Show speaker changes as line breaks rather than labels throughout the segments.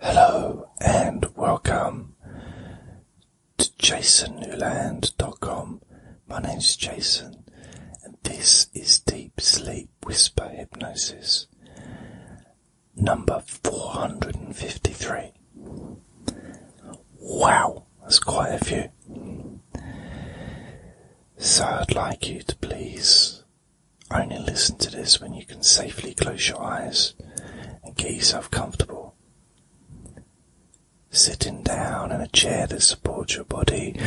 Hello and welcome to jasonnewland.com. My name is Jason and this is Deep Sleep Whisper Hypnosis number 453. Wow, that's quite a few. So I'd like you to please only listen to this when you can safely close your eyes and get yourself comfortable. Sitting down in a chair that supports your body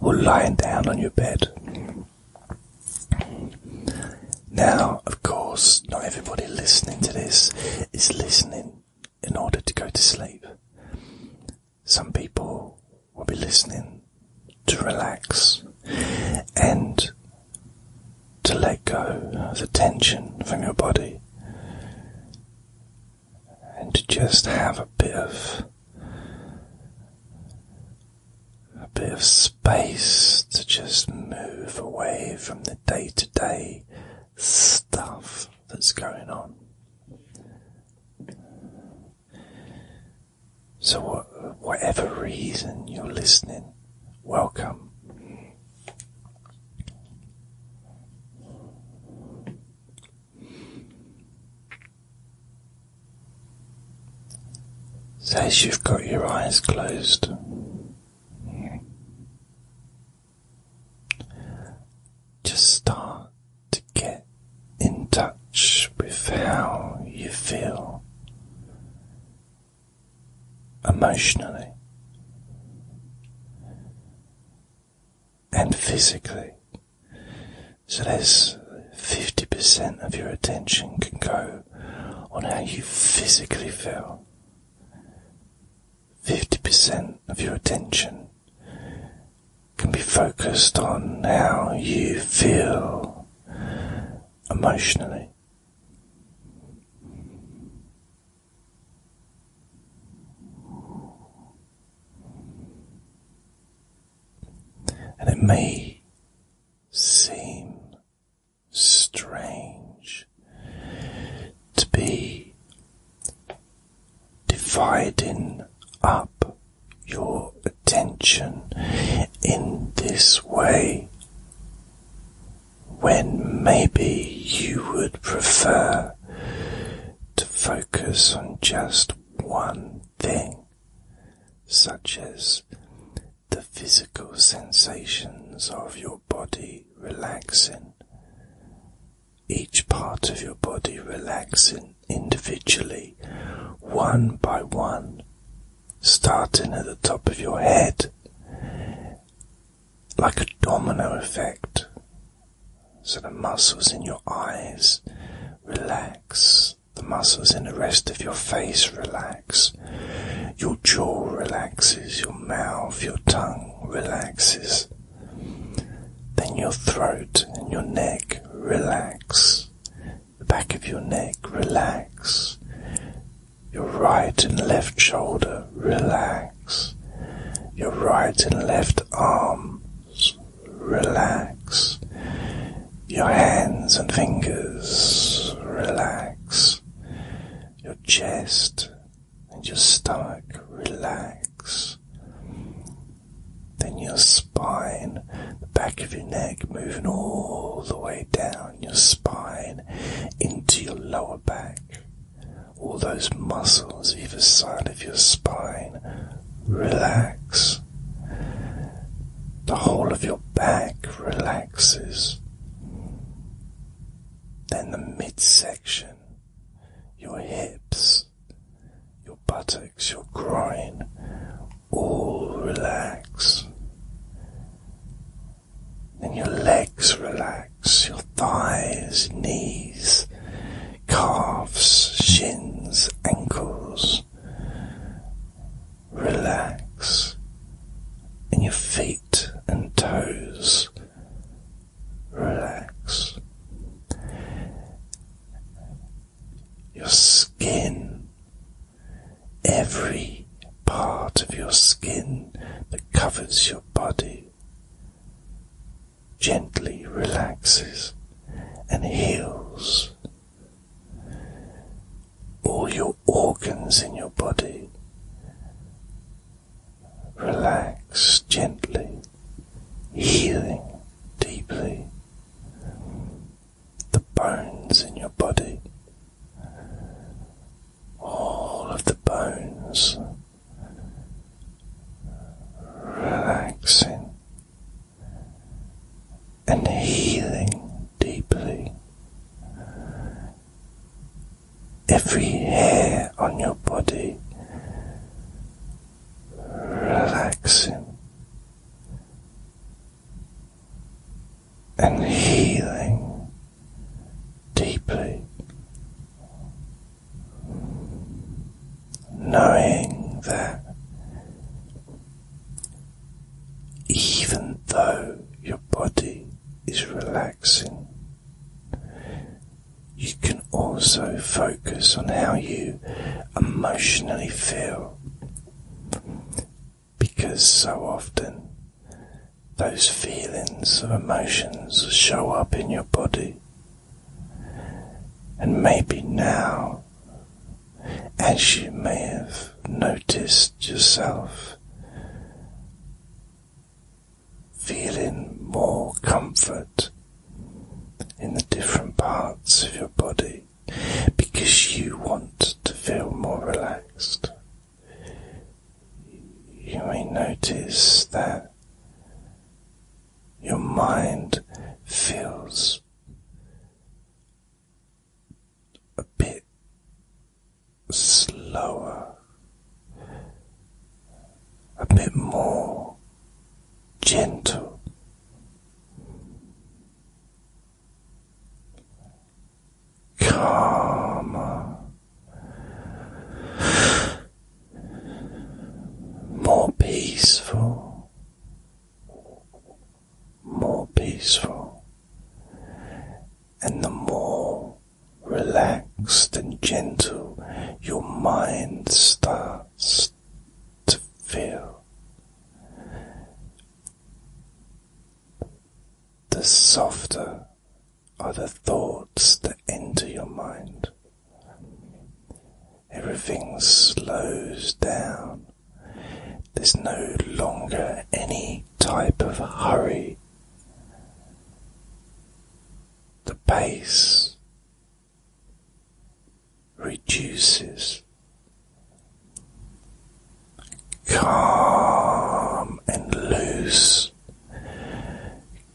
or lying down on your bed. Now, of course, not everybody listening to this is listening in order to go to sleep. Some people will be listening to relax and to let go of the tension from your body and to just have a bit of a bit of space to just move away from the day to day stuff that's going on. So, whatever reason you're listening, welcome. So, as you've got your eyes closed, just start to get in touch with how you feel emotionally and physically. So there's 50% of your attention can go on how you physically feel. 50% of your attention can be focused on how you feel emotionally. And it may seem strange to be dividing up your attention in this way when maybe you would prefer to focus on just one thing, such as the physical sensations of your body relaxing, each part of your body relaxing individually, one by one, starting at the top of your head, like a domino effect. So the muscles in your eyes relax, the muscles in the rest of your face relax, your jaw relaxes, your mouth, your tongue relaxes. Then your throat and your neck relax the back of your neck relax, your right and left shoulder relax, your right and left arms relax, your hands and fingers relax, your chest and your stomach relax. Then your spine, the back of your neck, moving all the way down your spine into your lower back. All those muscles either side of your spine relax. The whole of your back relaxes. Then the midsection, your hips, your buttocks, your groin, all relax. Then your legs relax, your thighs, knees, calves, shins, ankles. Relax. And your feet and toes. Relax your skin, every part of your skin that covers your body gently relaxes and heals. All your organs in your body relax gently healing deeply the bones in your body. All of the bones relaxing and healing deeply. Every hair on your body relaxing and healing deeply, knowing that. Even though your body is relaxing, you can also focus on how you emotionally feel because so often those feelings of emotions show up in your body. And maybe now, as you may have noticed yourself feeling more comfort in the different parts of your body because you want to feel more relaxed. You may notice that your mind feels a bit slower a bit more gentle. Calmer, more peaceful, more peaceful, and the more relaxed and gentle your mind starts to feel. The softer are the thoughts that enter your mind. Everything slows down. There's no longer any type of hurry the pace reduces. Calm and loose,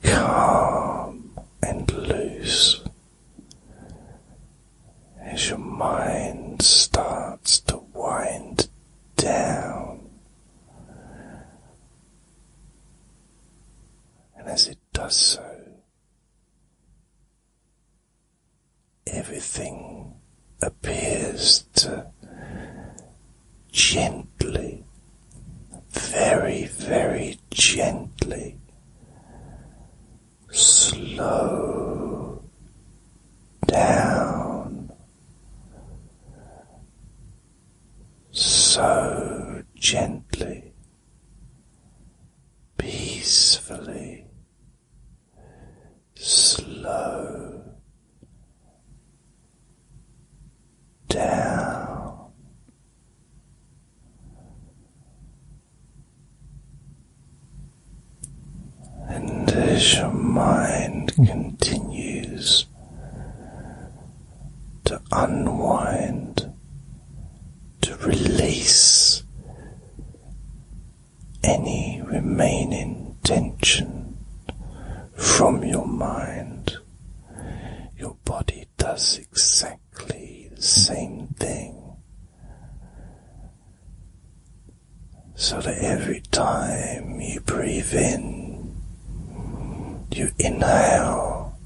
calm and loose as your mind starts to wind down and as it does so, everything appears to gently, very, very gently, slow down so gently, peacefully, slow down. And as your mind continues to unwind, to release any remaining tension from your mind. Your body does exactly the same thing. So that every time you breathe in, you inhale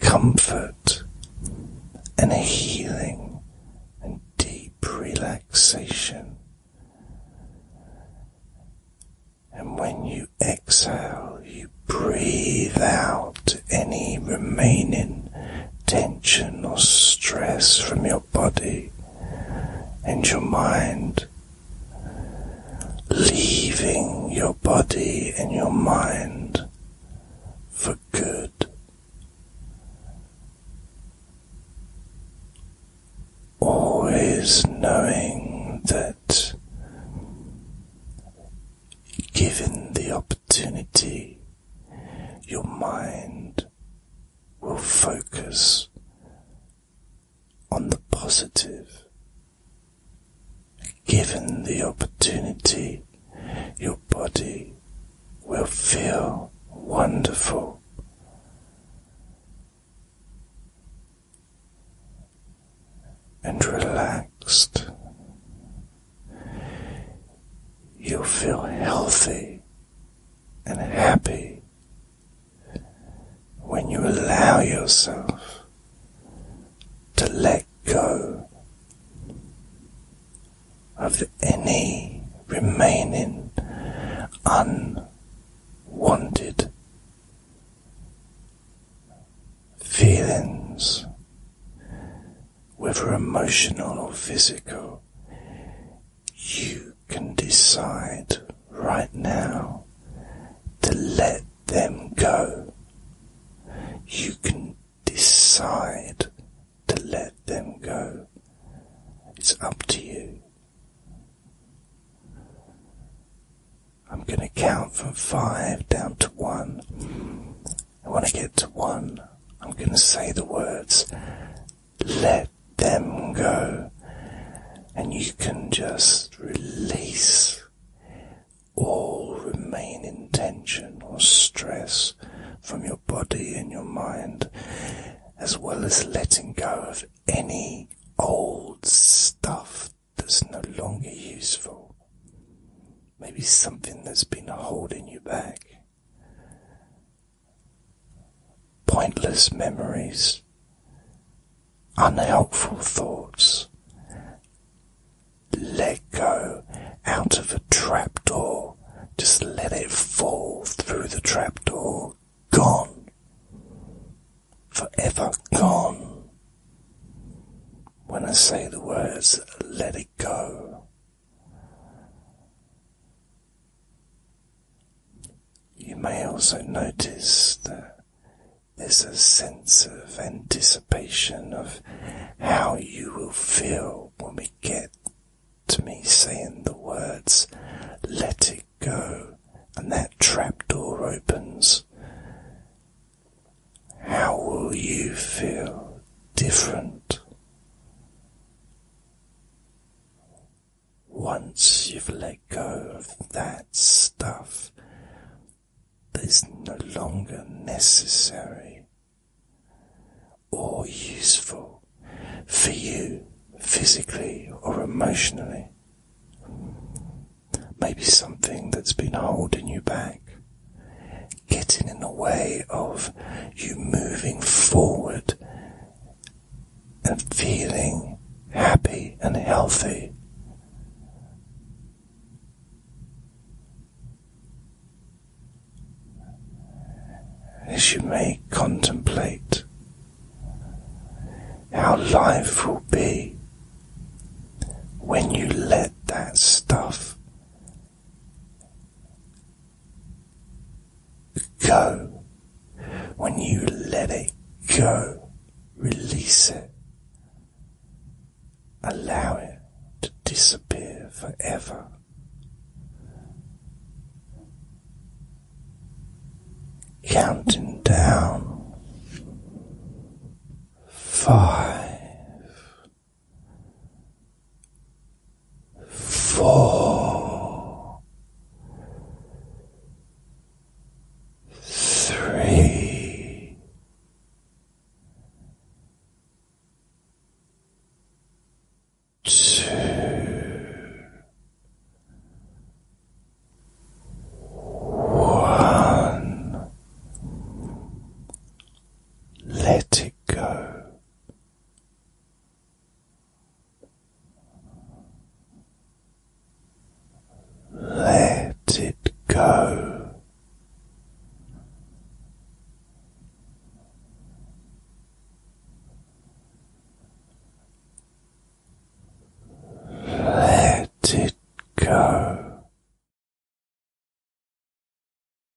comfort and healing and deep relaxation. And when you exhale, you breathe out any remaining tension or stress from your body and your mind leaving your body and your mind for good. Always knowing that, given the opportunity, your mind will focus on the positive. Given the opportunity, your body will feel wonderful. And relaxed, you'll feel healthy and happy when you allow yourself to let go of any remaining unwanted feelings, whether emotional or physical, you can decide right now to let them go. You can decide to let them go. It's up to you. I'm going to count from five down to one. And when I get to one, I'm going to say the words let them go, and you can just release all remaining tension or stress from your body and your mind, as well as letting go of any old stuff that's no longer useful. Maybe something that's been holding you back pointless memories, unhelpful thoughts. Let go out of a trapdoor. Just let it fall through the trapdoor. Gone. Forever gone. When I say the words, let it go. You may also notice that there's a sense of anticipation of how you will feel when we get to me saying the words, let it go, and that trapdoor opens. How will you feel different? Once you've let go of that stuff that is no longer necessary or useful for you physically or emotionally, maybe something that's been holding you back, getting in the way of you moving forward and feeling happy and healthy. As you may contemplate how life will be when you let that stuff go. When you let it go, release it. Allow it to disappear forever. Counting down. Five four, three, two, one. Let it go. Let it go. Let it go.